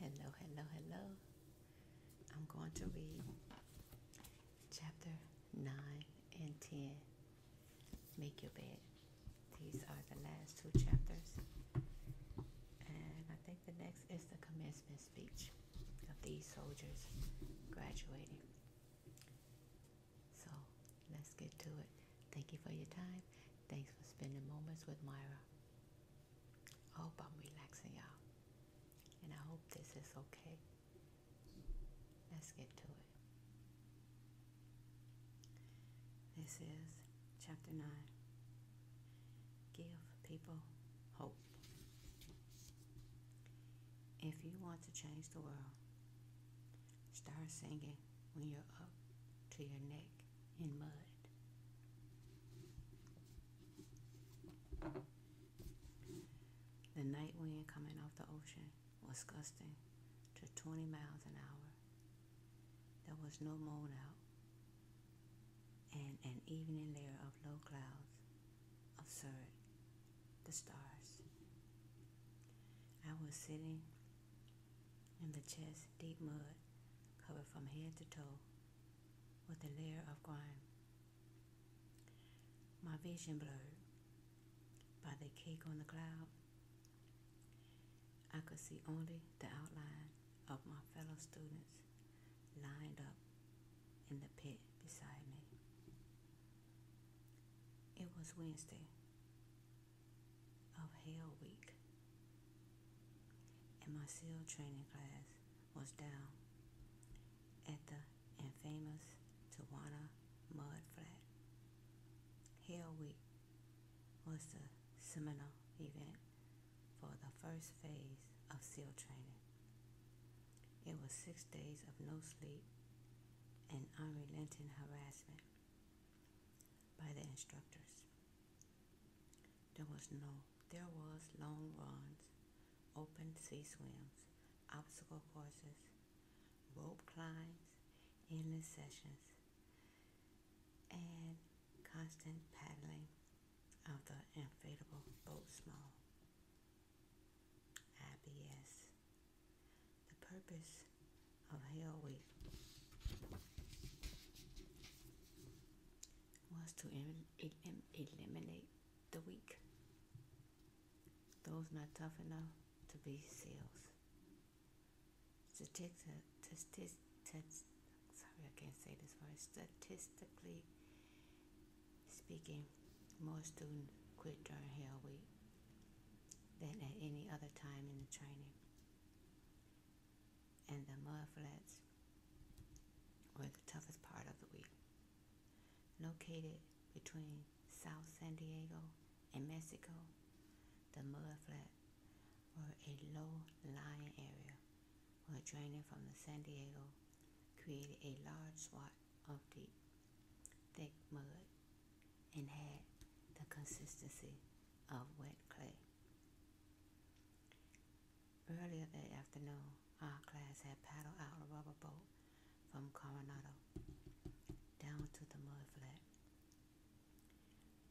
Hello, hello, hello. I'm going to read chapter 9 and 10. Make your bed. These are the last two chapters. And I think the next is the commencement speech of these soldiers graduating. So let's get to it. Thank you for your time. Thanks for spending moments with Myra. I hope I'm relaxing y'all. And I hope this is okay. Let's get to it. This is chapter 9. Give people hope. If you want to change the world, start singing when you're up to your neck in mud. The night wind coming off the ocean was gusting to 20 miles an hour. There was no moon out and an evening layer of low clouds obscured the stars. I was sitting in the chest, deep mud covered from head to toe with a layer of grime. My vision blurred by the cake on the cloud. I could see only the outline of my fellow students lined up in the pit beside me. It was Wednesday of Hail Week and my SEAL training class was down at the infamous Tawana Mud Flat. Hell Week was the seminal event for the first phase of SEAL training. It was six days of no sleep and unrelenting harassment by the instructors. There was no, there was long runs, open sea swims, obstacle courses, rope climbs, endless sessions, and constant paddling of the inflatable boat small. IBS. The purpose of Hell Week was to eliminate the weak, those not tough enough to be sales. take Statistic, statistic, sorry, I can't say this word. Statistically speaking, more students quit during Hell Week than at any other time in the training and the mufflets were the toughest part of the week. Located between South San Diego and Mexico, the mudflat were a low-lying area where drainage from the San Diego created a large swath of deep, thick mud and had the consistency of wet clay. Earlier that afternoon, our class had paddled out a rubber boat from Coronado down to the mud flat.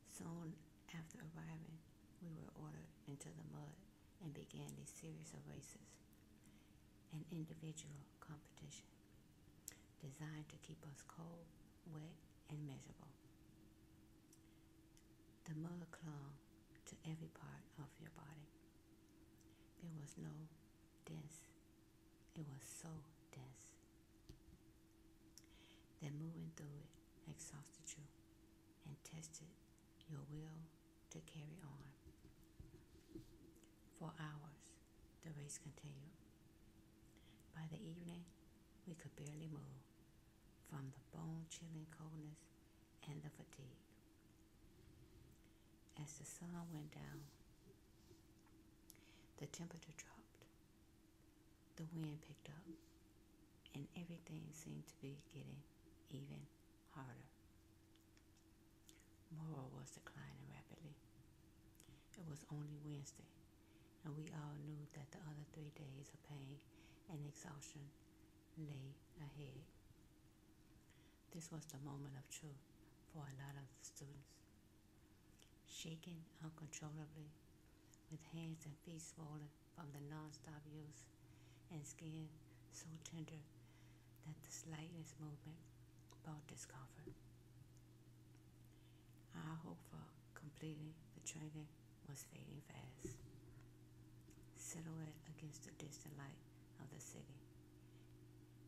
Soon after arriving, we were ordered into the mud and began a series of races an individual competition designed to keep us cold, wet, and miserable the mud clung to every part of your body. There was no dense. It was so dense that moving through it exhausted you and tested your will to carry on. For hours, the race continued. By the evening, we could barely move from the bone chilling coldness and the fatigue. As the sun went down, the temperature dropped, the wind picked up, and everything seemed to be getting even harder. Morale was declining rapidly. It was only Wednesday, and we all knew that the other three days of pain and exhaustion lay ahead. This was the moment of truth for a lot of students. Shaking uncontrollably, with hands and feet swollen from the non-stop use, and skin so tender that the slightest movement brought discomfort. I hope for completing the training was fading fast, silhouette against the distant light of the city.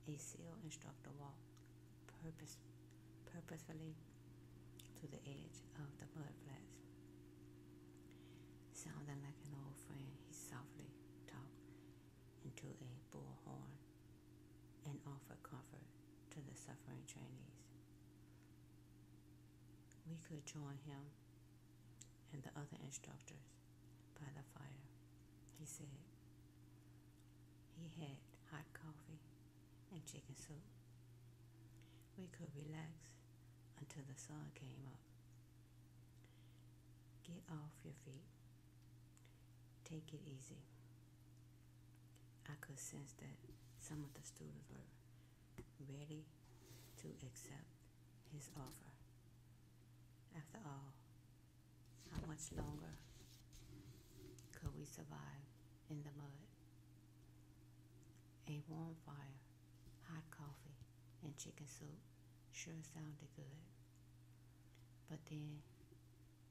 A seal instructor walked purpose, purposefully to the edge of the mud flats. Sounding like an old friend, he softly talked into a bullhorn and offered comfort to the suffering trainees. We could join him and the other instructors by the fire. He said he had hot coffee and chicken soup. We could relax until the sun came up. Get off your feet. Take it easy. I could sense that some of the students were ready to accept his offer. After all, how much longer could we survive in the mud? A warm fire, hot coffee, and chicken soup sure sounded good. But then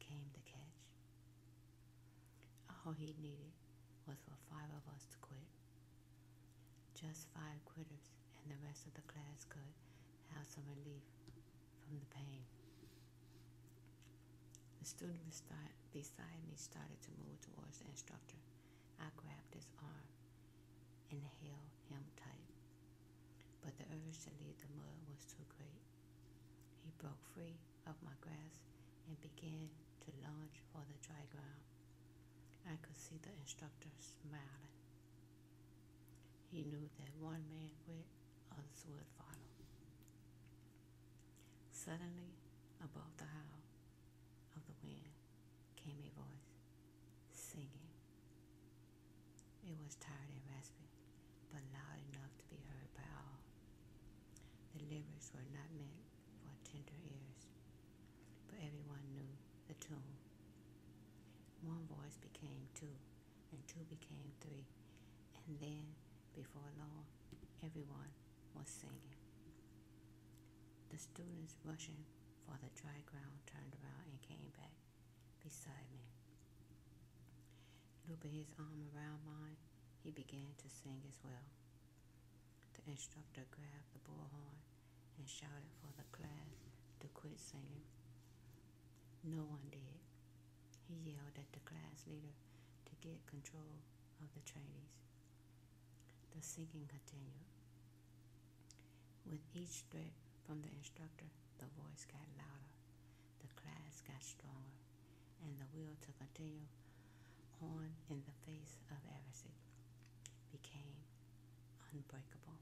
came the catch. All he needed was for five of us to quit just five quitters, and the rest of the class could have some relief from the pain. The student beside me started to move towards the instructor. I grabbed his arm and held him tight, but the urge to leave the mud was too great. He broke free of my grasp and began to lunge for the dry ground. I could see the instructor smiling. He knew that one man went, others would follow. Suddenly, above the howl of the wind, came a voice singing. It was tired and raspy, but loud enough to be heard by all. The lyrics were not meant for tender ears, but everyone knew the tune. One voice became two, and two became three, and then, before long, everyone was singing. The students rushing for the dry ground turned around and came back beside me. Looping his arm around mine, he began to sing as well. The instructor grabbed the bullhorn and shouted for the class to quit singing. No one did. He yelled at the class leader to get control of the trainees. The singing continued. With each threat from the instructor, the voice got louder, the class got stronger, and the will to continue on in the face of adversity became unbreakable.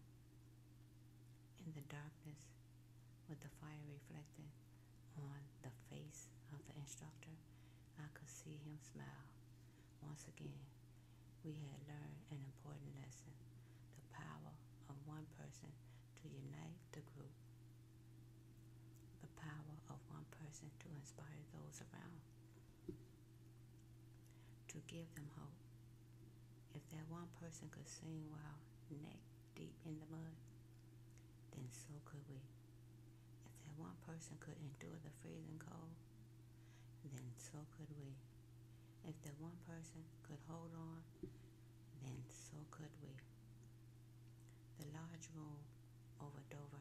In the darkness, with the fire reflected on the face of the instructor, I could see him smile. Once again, we had learned an important lesson the power of one person to unite the group, the power of one person to inspire those around to give them hope. If that one person could sing while neck deep in the mud, then so could we. If that one person could endure the freezing cold, then so could we. If that one person could hold on, then so could we. The large room over Dover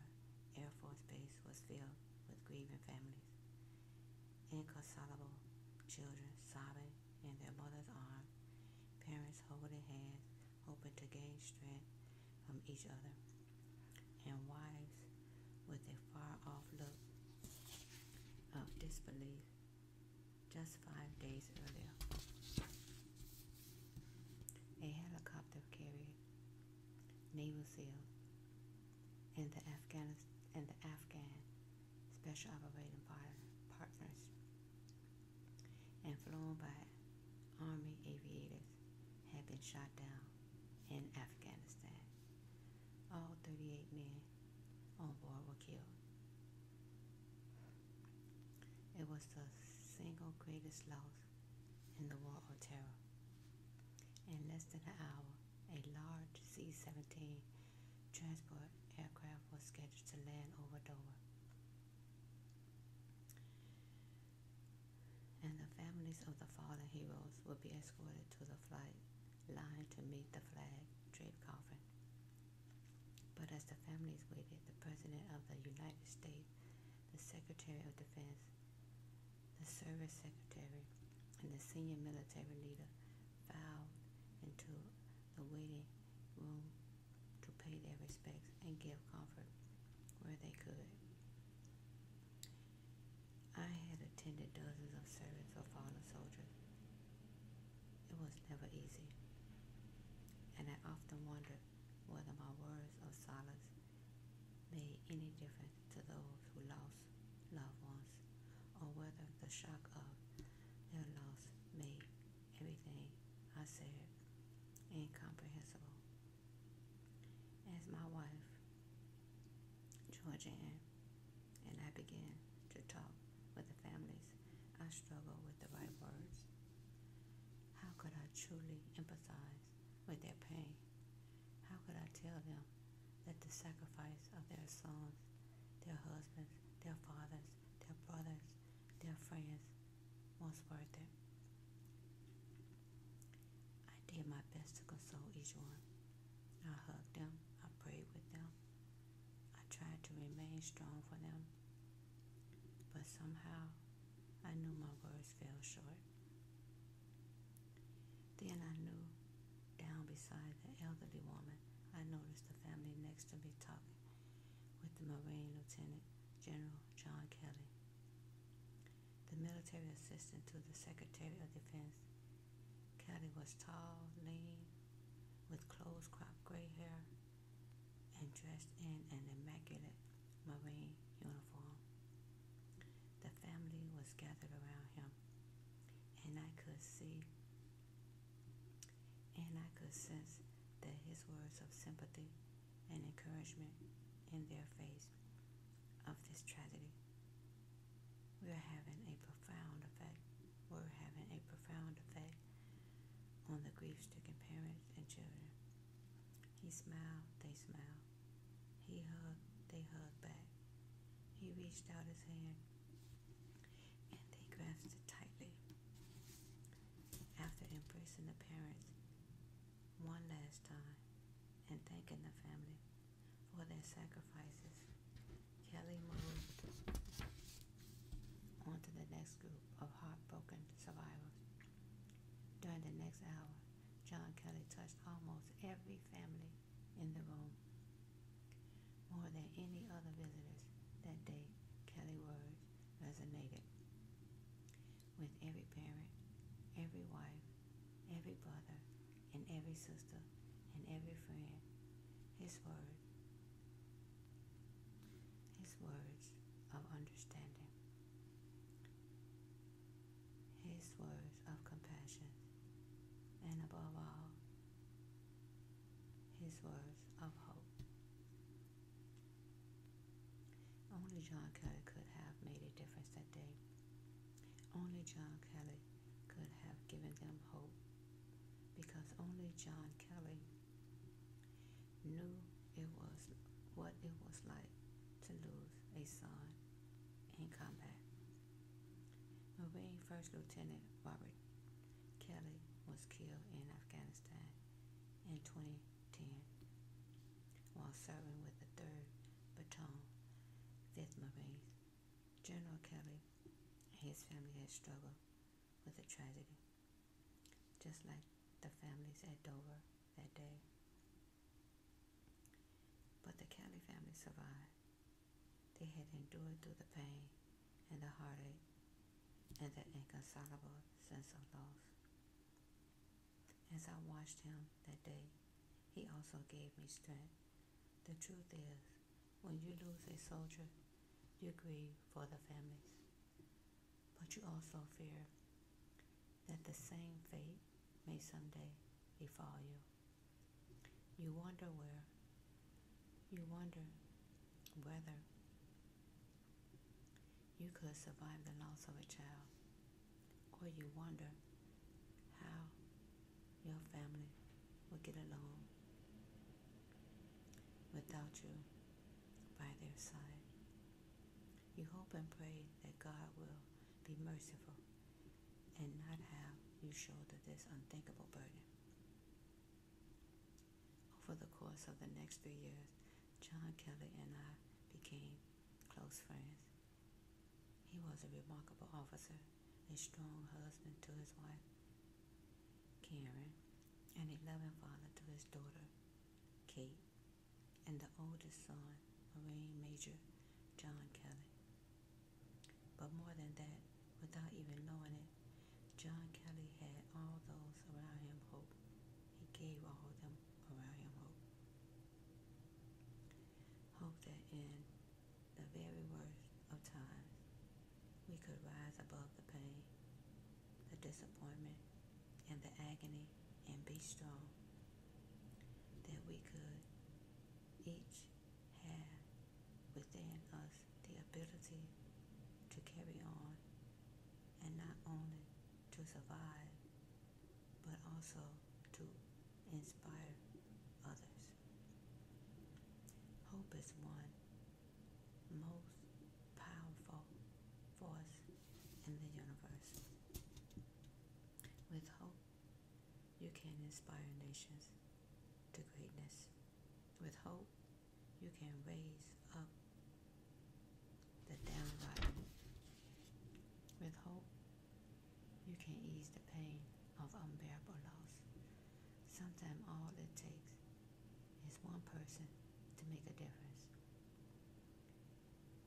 Air Force Base was filled with grieving families. Inconsolable children sobbing in their mother's arms, parents holding hands, hoping to gain strength from each other, and wives with a far off look of disbelief just five days earlier. A helicopter carried naval SEALs and the Afghan and the Afghan Special Operating Partners, and flown by Army aviators, had been shot down in Afghanistan. All 38 men on board were killed. It was the single greatest loss in the War of Terror. In less than an hour, a large C 17 transport aircraft was scheduled to land over Dover. And the families of the fallen heroes will be escorted to the flight line to meet the flag draped coffin. But as the families waited, the President of the United States, the Secretary of Defense, the service secretary and the senior military leader filed into the waiting room to pay their respects and give comfort where they could. I had attended dozens of servants for fallen soldiers. It was never easy, and I often wondered whether my words of solace made any difference to those who lost loved ones, or whether the shock of their loss made everything I said incomprehensible. As my wife, Georgianne, and I began to talk with the families, I struggled with the right words. How could I truly empathize with their pain. How could I tell them that the sacrifice of their sons, their husbands, their fathers, their brothers, their friends was worth it? I did my best to console each one. I hugged them, I prayed with them, I tried to remain strong for them, but somehow I knew my words fell short. Then I knew down beside the elderly woman, I noticed the family next to me talking with the Marine Lieutenant General John Kelly, the military assistant to the Secretary of Defense. Kelly was tall, lean, with close cropped gray hair, and dressed in an immaculate Marine uniform. The family was gathered around him, and I could see and I could sense that his words of sympathy and encouragement in their face of this tragedy. We are having a profound effect. We're having a profound effect on the grief stricken parents and children. He smiled, they smiled. He hugged, they hugged back. He reached out his hand and they grasped it tightly. After embracing the parents one last time and thanking the family for their sacrifices, Kelly moved on to the next group of heartbroken survivors. During the next hour, John Kelly touched almost every family in the room. More than any other visitors that day, Kelly's words resonated with every parent, every wife, every brother, and every sister, and every friend. His words. his words of understanding his words of compassion, and above all, his words of hope. Only John Kelly could have made a difference that day. Only John Kelly could have given them hope because only John Kelly knew it was what it was like to lose a son in combat. Marine First Lieutenant Robert Kelly was killed in Afghanistan in 2010 while serving with the 3rd Battalion, 5th Marine. General Kelly and his family had struggled with the tragedy, just like the families at Dover that day. But the Kelly family survived. They had endured through the pain and the heartache and the inconsolable sense of loss. As I watched him that day, he also gave me strength. The truth is, when you lose a soldier, you grieve for the families, but you also fear that the same fate may someday befall you. You wonder where. You wonder whether you could survive the loss of a child, or you wonder how your family will get along without you by their side. You hope and pray that God will be merciful and not have you shoulder this unthinkable burden. Over the course of the next three years, John Kelly and I became close friends. He was a remarkable officer, a strong husband to his wife, Karen, and a loving father to his daughter, Kate, and the oldest son, Marine Major John Kelly. But more than that, without even knowing it, John Kelly had all those around him hope. He gave all of them around him hope. Hope that in the very worst of times, we could rise above the pain, the disappointment, and the agony and be strong. That we could each have within us the ability to carry on and not only to survive but also to inspire others. Hope is one most powerful force in the universe. With hope, you can inspire nations to greatness. With hope, you can raise up the downright. With hope, you can ease the pain of unbearable loss. Sometimes all it takes is one person to make a difference.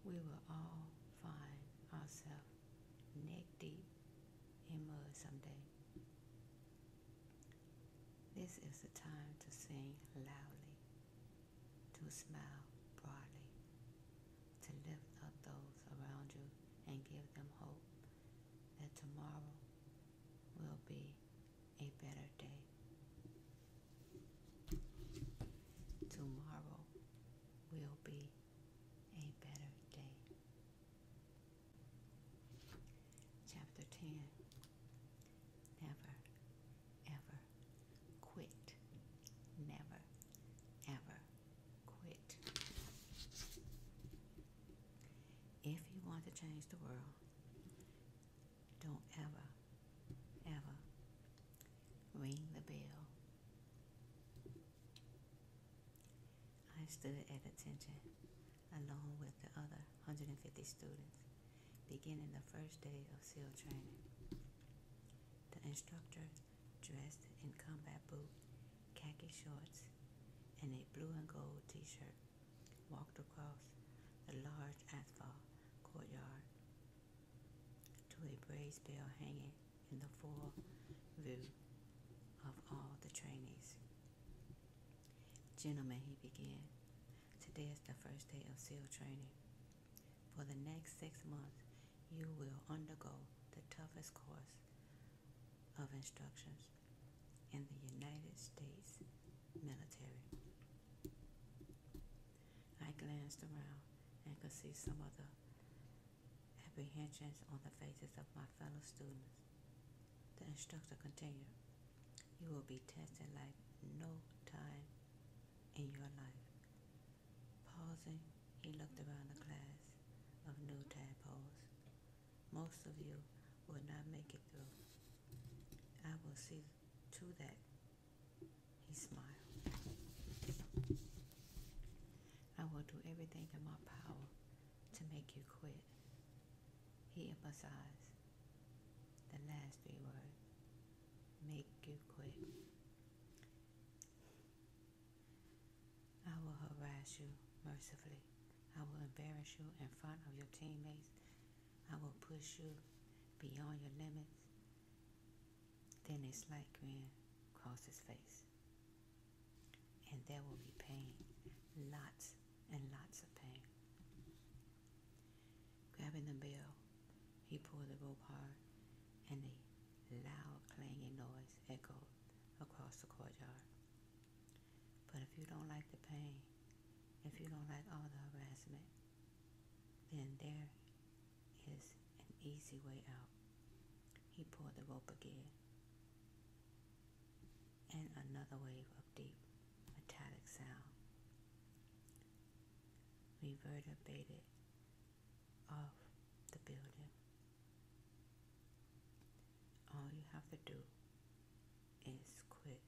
We will all find ourselves neck deep in mud someday. This is the time to sing loudly, to smile broadly, to lift up those around you and give them hope that tomorrow will be a better day. Tomorrow will be a better day. Chapter 10 Never, ever quit. Never, ever quit. If you want to change the world, don't ever, ever ring the bell. I stood at attention along with the other 150 students beginning the first day of SEAL training. The instructor, dressed in combat boots, khaki shorts, and a blue and gold t shirt, walked across the large asphalt courtyard to a brass bell hanging in the full view of all the trainees. Gentlemen, he began, today is the first day of SEAL training. For the next six months, you will undergo the toughest course of instructions in the United States military. I glanced around and could see some of the apprehensions on the faces of my fellow students. The instructor continued, You will be tested like no time in your life. Pausing, he looked around the class of new tadpoles. Most of you will not make it through. I will see to that. He smiled. I will do everything in my power to make you quit. He emphasized the last three words make you quit. I will harass you mercifully. I will embarrass you in front of your teammates. I will push you beyond your limits. Then a slight grin crossed his face. And there will be pain, lots and lots of pain. Grabbing the bell, he pulled the rope hard, and a loud clanging noise echoed across the courtyard. But if you don't like the pain, if you don't like all the harassment, then there is an easy way out. He pulled the rope again, and another wave of deep metallic sound reverberated off the building. All you have to do is quit.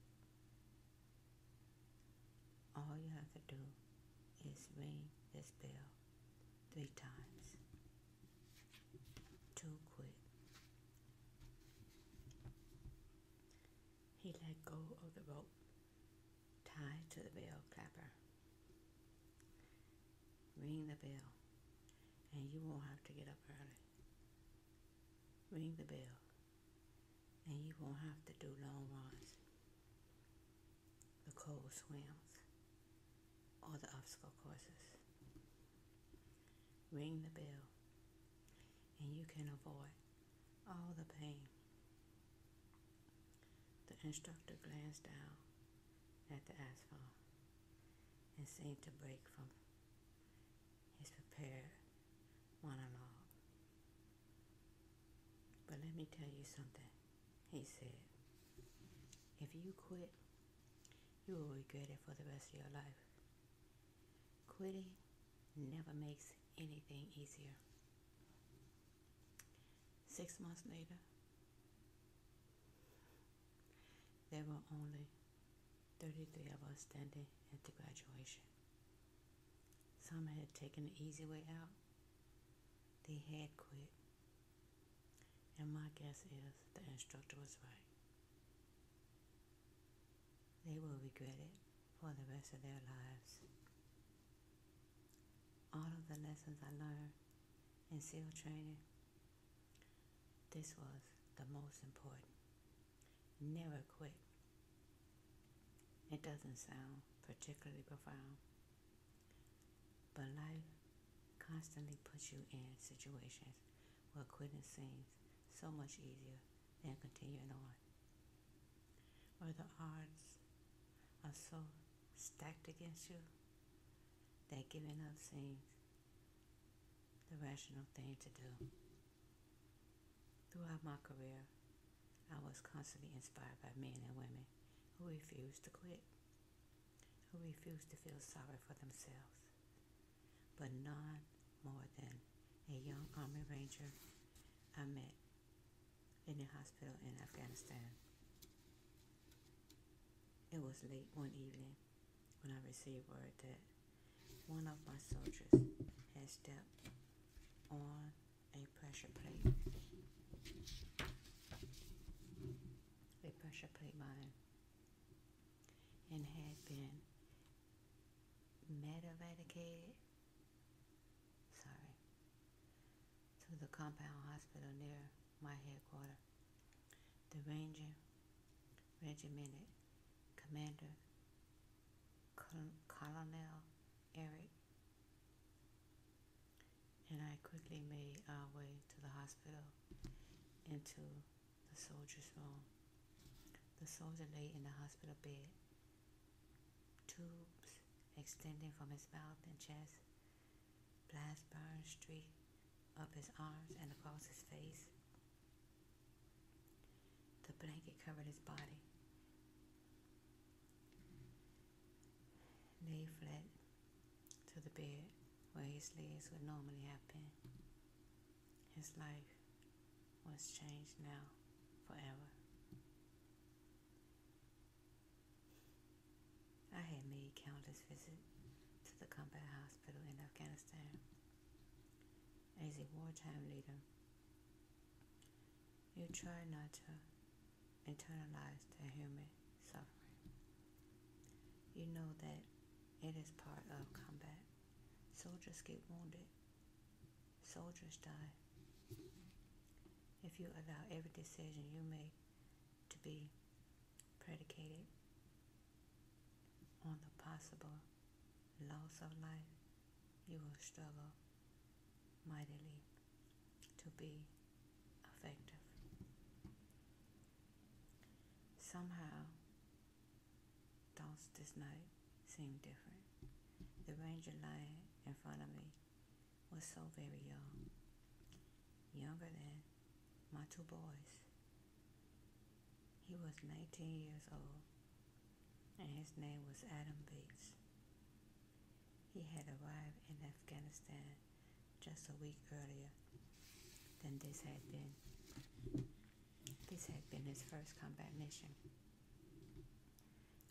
All you have to do is ring this bell three times too quick. He let go of the rope tied to the bell clapper. Ring the bell, and you won't have to get up early. Ring the bell, and you won't have to do long runs. The cold swims all the obstacle courses. Ring the bell, and you can avoid all the pain. The instructor glanced down at the asphalt and seemed to break from his prepared monologue. But let me tell you something, he said. If you quit you will regret it for the rest of your life. Quitting never makes anything easier. Six months later, there were only 33 of us standing at the graduation. Some had taken the easy way out, they had quit. And my guess is the instructor was right. They will regret it for the rest of their lives. All of the lessons I learned in SEAL training, this was the most important. Never quit. It doesn't sound particularly profound, but life constantly put you in situations where quitting seems so much easier than continuing on, where the odds are so stacked against you that giving up seems the rational thing to do. Throughout my career, I was constantly inspired by men and women who refused to quit who refuse to feel sorry for themselves, but none more than a young Army Ranger I met in a hospital in Afghanistan. It was late one evening when I received word that one of my soldiers had stepped on a pressure plate. A pressure plate mine and had been medevadicated, sorry, to the compound hospital near my headquarters. The ranger, regimented commander, Col Colonel Eric, and I quickly made our way to the hospital into the soldier's room. The soldier lay in the hospital bed, tubes extending from his mouth and chest, blast burns streak up his arms and across his face. The blanket covered his body. Lay flat to the bed where his legs would normally have been. His life was changed now forever. I had made countless visits to the combat hospital in Afghanistan as a wartime leader. You try not to internalize the human suffering. You know that it is part of combat. Soldiers get wounded. Soldiers die. If you allow every decision you make to be predicated on the possible loss of life, you will struggle mightily to be effective. Somehow, thoughts this night seemed different. The ranger lying in front of me was so very young, younger than my two boys. He was 19 years old, and his name was Adam Bates. He had arrived in Afghanistan just a week earlier than this had been. This had been his first combat mission.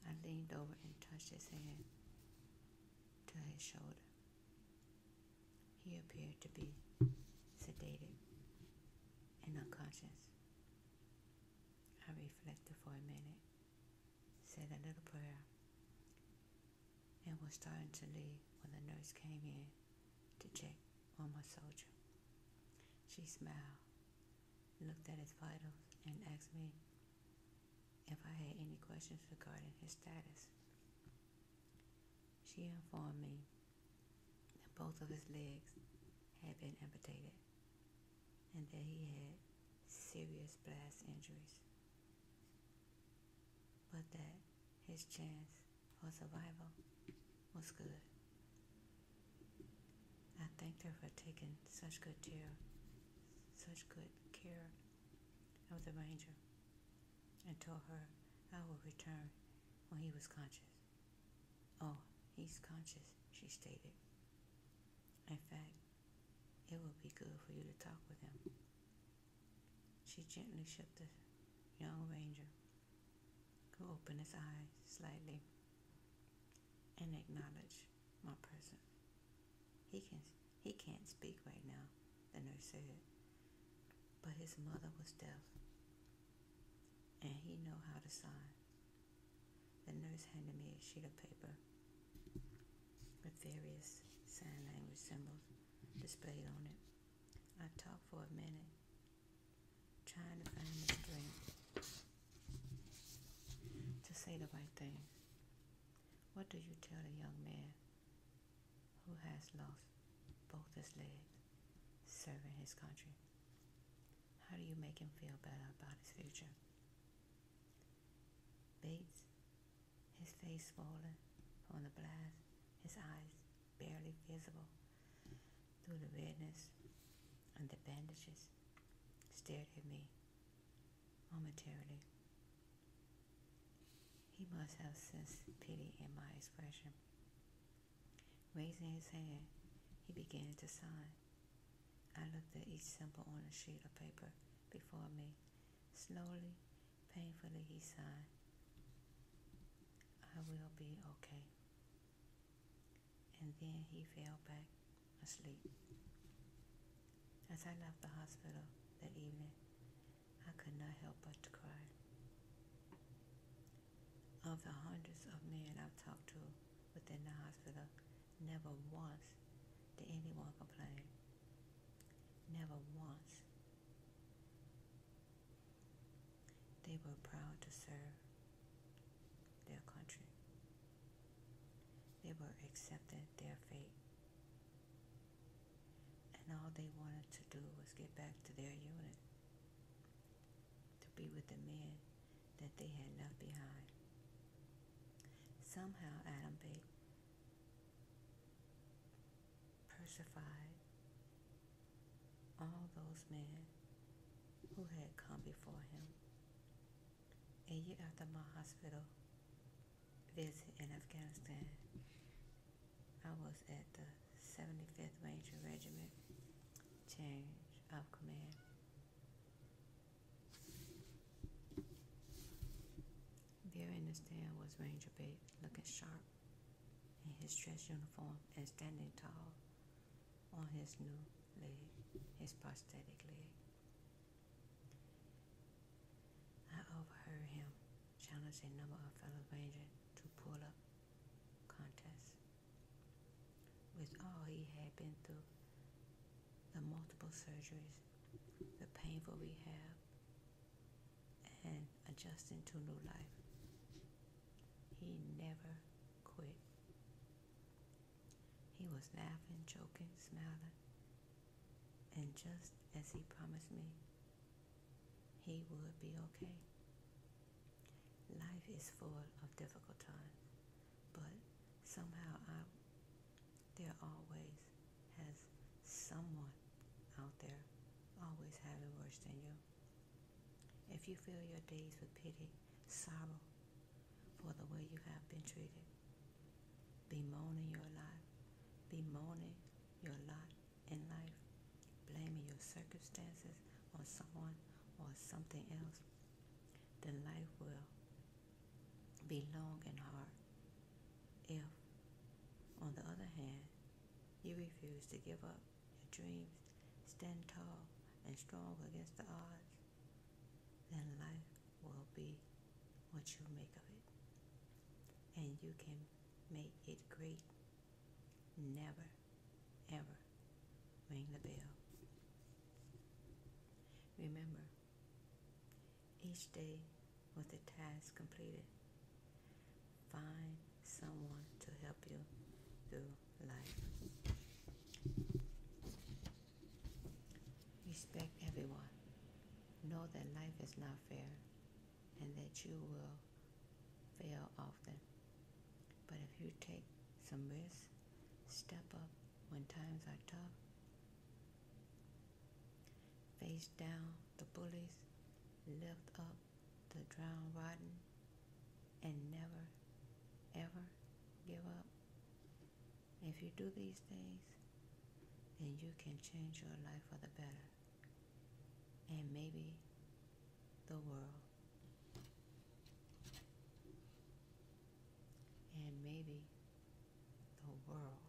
I leaned over and touched his hand to his shoulder. He appeared to be sedated and unconscious. I reflected for a minute, said a little prayer, and was starting to leave when the nurse came in to check on my soldier. She smiled, looked at his vitals, and asked me if I had any questions regarding his status. She informed me that both of his legs had been amputated and that he had serious blast injuries, but that his chance or survival was good. I thanked her for taking such good care, such good care of the ranger, and told her I would return when he was conscious. Oh, he's conscious, she stated. In fact, it would be good for you to talk with him. She gently shook the young ranger, who opened his eyes slightly and acknowledged my presence. He can he can't speak right now, the nurse said. But his mother was deaf and he know how to sign. The nurse handed me a sheet of paper with various sign language symbols displayed on it. I talked for a minute, trying to find the strength to say the right thing. What do you tell a young man who has lost both his legs serving his country? How do you make him feel better about his future? Bates, his face fallen, from the blast, his eyes barely visible through the redness and the bandages, stared at me momentarily. He must have sensed pity in my expression. Raising his hand, he began to sign. I looked at each symbol on the sheet of paper before me, slowly Painfully he sighed. I will be okay. And then he fell back asleep. As I left the hospital that evening, I could not help but to cry. Of the hundreds of men I've talked to within the hospital, never once did anyone complain. Never once they were proud to serve their country. They were accepting their fate. And all they wanted to do was get back to their unit, to be with the men that they had left behind. Somehow Adam Bate persevered all those men who had come before him. A year after my hospital visit in Afghanistan, I was at the 75th Ranger Regiment change of command. There in the stand was Ranger Bates looking sharp in his dress uniform and standing tall on his new leg, his prosthetic leg. I overheard him challenge a number of fellow veterans to pull-up contests. With all he had been through, the multiple surgeries, the painful rehab, and adjusting to new life. He never quit. He was laughing, joking, smiling, and just as he promised me, he would be okay. Life is full of difficult times, but somehow I, there always has someone out there always having worse than you. If you fill your days with pity, sorrow for the way you have been treated, bemoaning your lot, bemoaning your lot in life, blaming your circumstances on someone or something else, then life will be long and hard. If, on the other hand, you refuse to give up your dreams. Stand tall and strong against the odds. Then life will be what you make of it. And you can make it great. Never, ever ring the bell. Remember, each day with a task completed Find someone to help you through life. Respect everyone. Know that life is not fair and that you will fail often. But if you take some risks, step up when times are tough, face down the bullies, lift up the drown, rotten and never ever give up. If you do these things, then you can change your life for the better and maybe the world. And maybe the world.